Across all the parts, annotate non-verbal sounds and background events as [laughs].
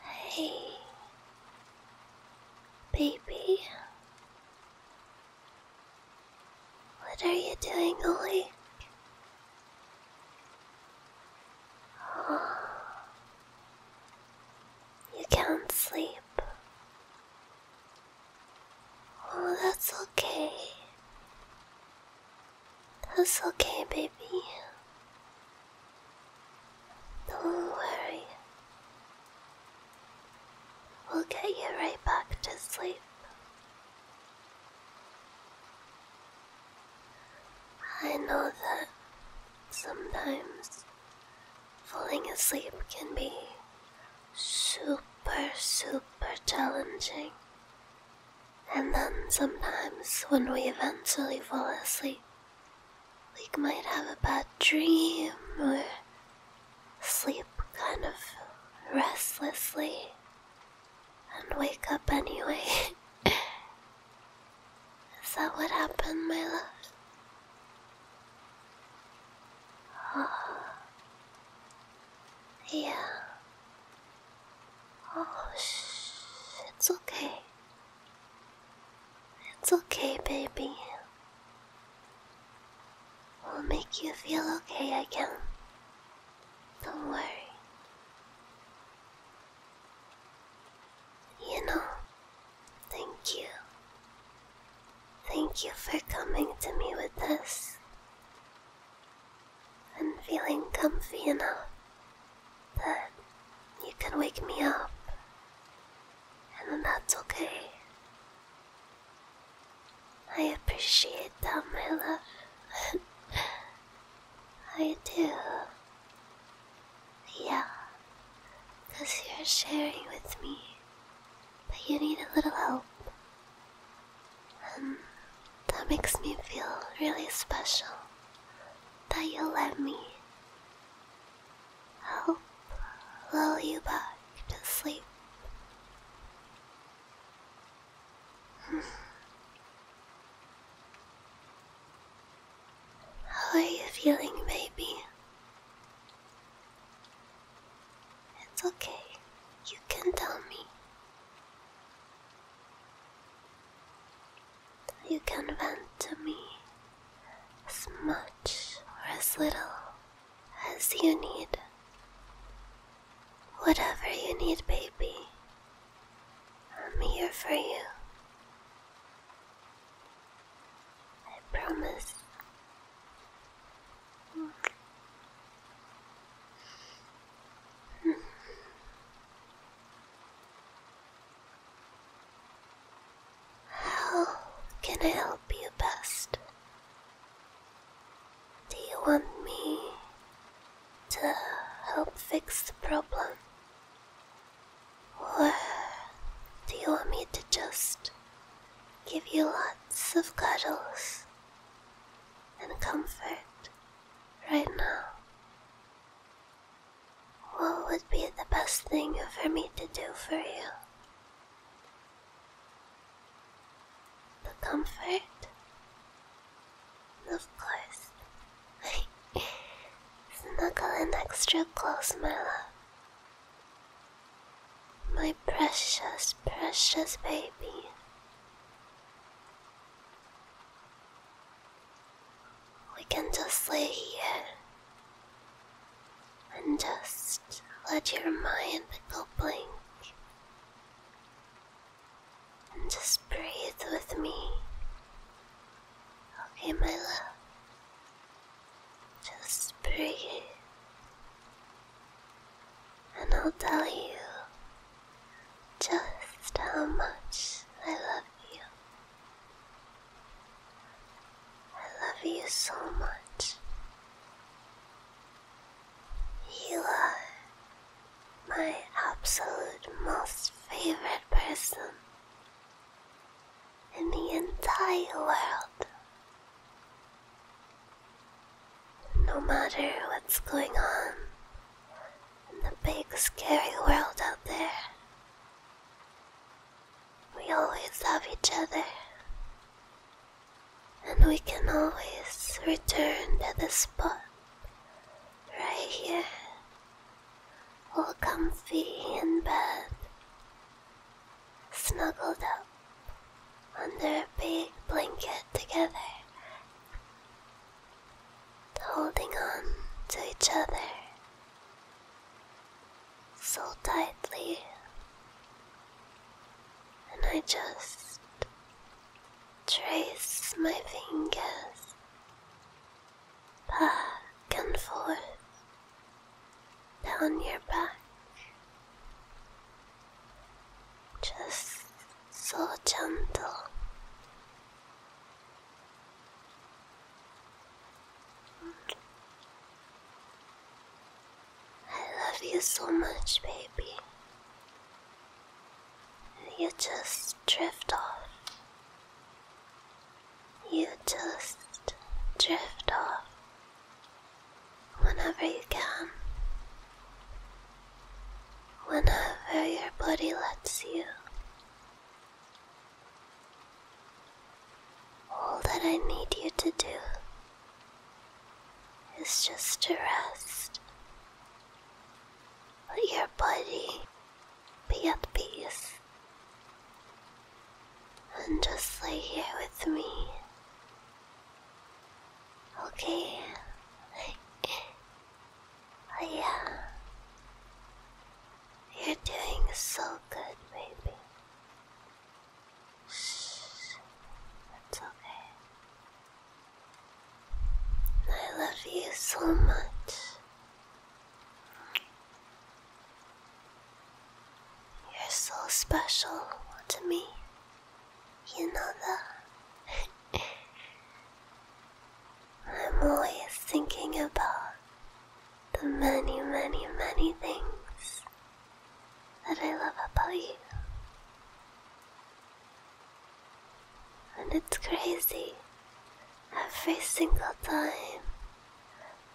Hey, baby. What are you doing, Ollie? Oh, [gasps] you can't sleep. Oh, that's okay. That's okay, baby. Don't worry. We'll get you right back to sleep. I know that sometimes falling asleep can be super, super challenging. And then sometimes when we eventually fall asleep, we might have a bad dream or sleep kind of restlessly and wake up anyway. [laughs] Is that what happened, my love? Oh. [sighs] Yeah. Oh, It's okay. It's okay, baby. We'll make you feel okay again. Don't worry. You know, thank you. Thank you for coming to me with this and feeling comfy enough that you can wake me up, and that's okay. I appreciate that, my love. [laughs] I do. Yeah, because you're sharing with me, but you need a little help. Um, that makes me feel really special that you let me help lull you back to sleep. How are you feeling, baby? It's okay. You can tell me. You can vent to me as much or as little as you need. Whatever you need, baby, I'm here for you. I promise. How can I help you best? Do you want me to help fix the problem? Or do you want me to just give you lots of cuddles and comfort right now. What would be the best thing for me to do for you? The comfort? Of course. [laughs] Snuggle in extra close, my love my precious, precious baby. We can just lay here and just let your mind go blank and just breathe with me. Okay, my love. Just breathe and I'll tell you just how much I love you. I love you so much. You my absolute most favorite person in the entire world. No matter what's going on in the big scary world out there, we always have each other, and we can always return to the spot right here, all comfy in bed snuggled up under a big blanket together, holding on to each other so tightly, and I just trace my fingers back and forth down your back just so gentle. I love you so much, baby. You just drift off. You just drift off whenever you can, whenever your body lets you. All that I need you to do is just to rest. Let your body be at peace and just lay here with me. Okay. [laughs] oh, yeah. You're doing so good, baby. Shh. It's okay. I love you so much. You're so special to me. You know that. [laughs] I'm always thinking about the many, many, many things that I love about you. And it's crazy. Every single time,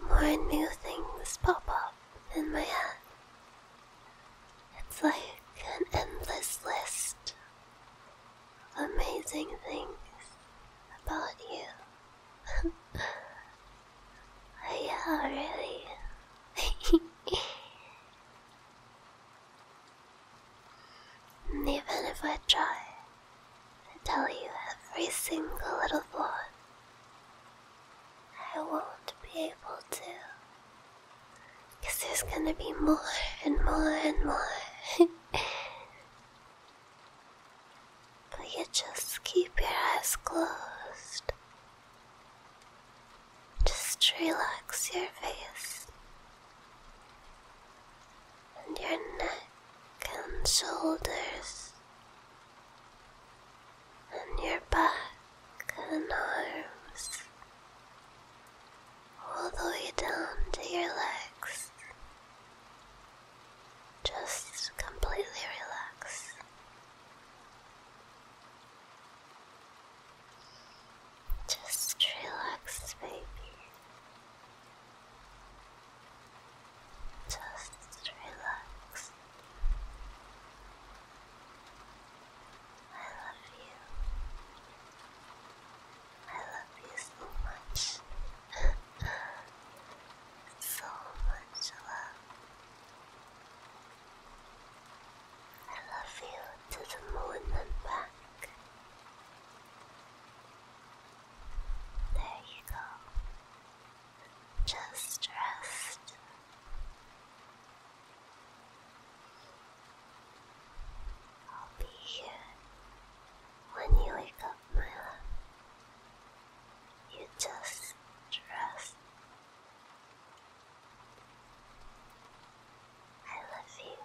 more new things pop up in my head. It's like an endless list amazing things about you. oh, [laughs] yeah, really. and [laughs] even if I try to tell you every single little flaw I won't be able to. Because there's gonna be more and more and more. But [laughs] you just keep your eyes closed? Just relax your face and your neck and shoulders and your back and arms, all the way down to your legs. Just completely relax. Just relax, baby. Just relax. I love you. I love you so much. [laughs] so much love. I love you to the moon and back. There you go. Just rest. I'll be here when you wake up, my love. You just rest. I love you.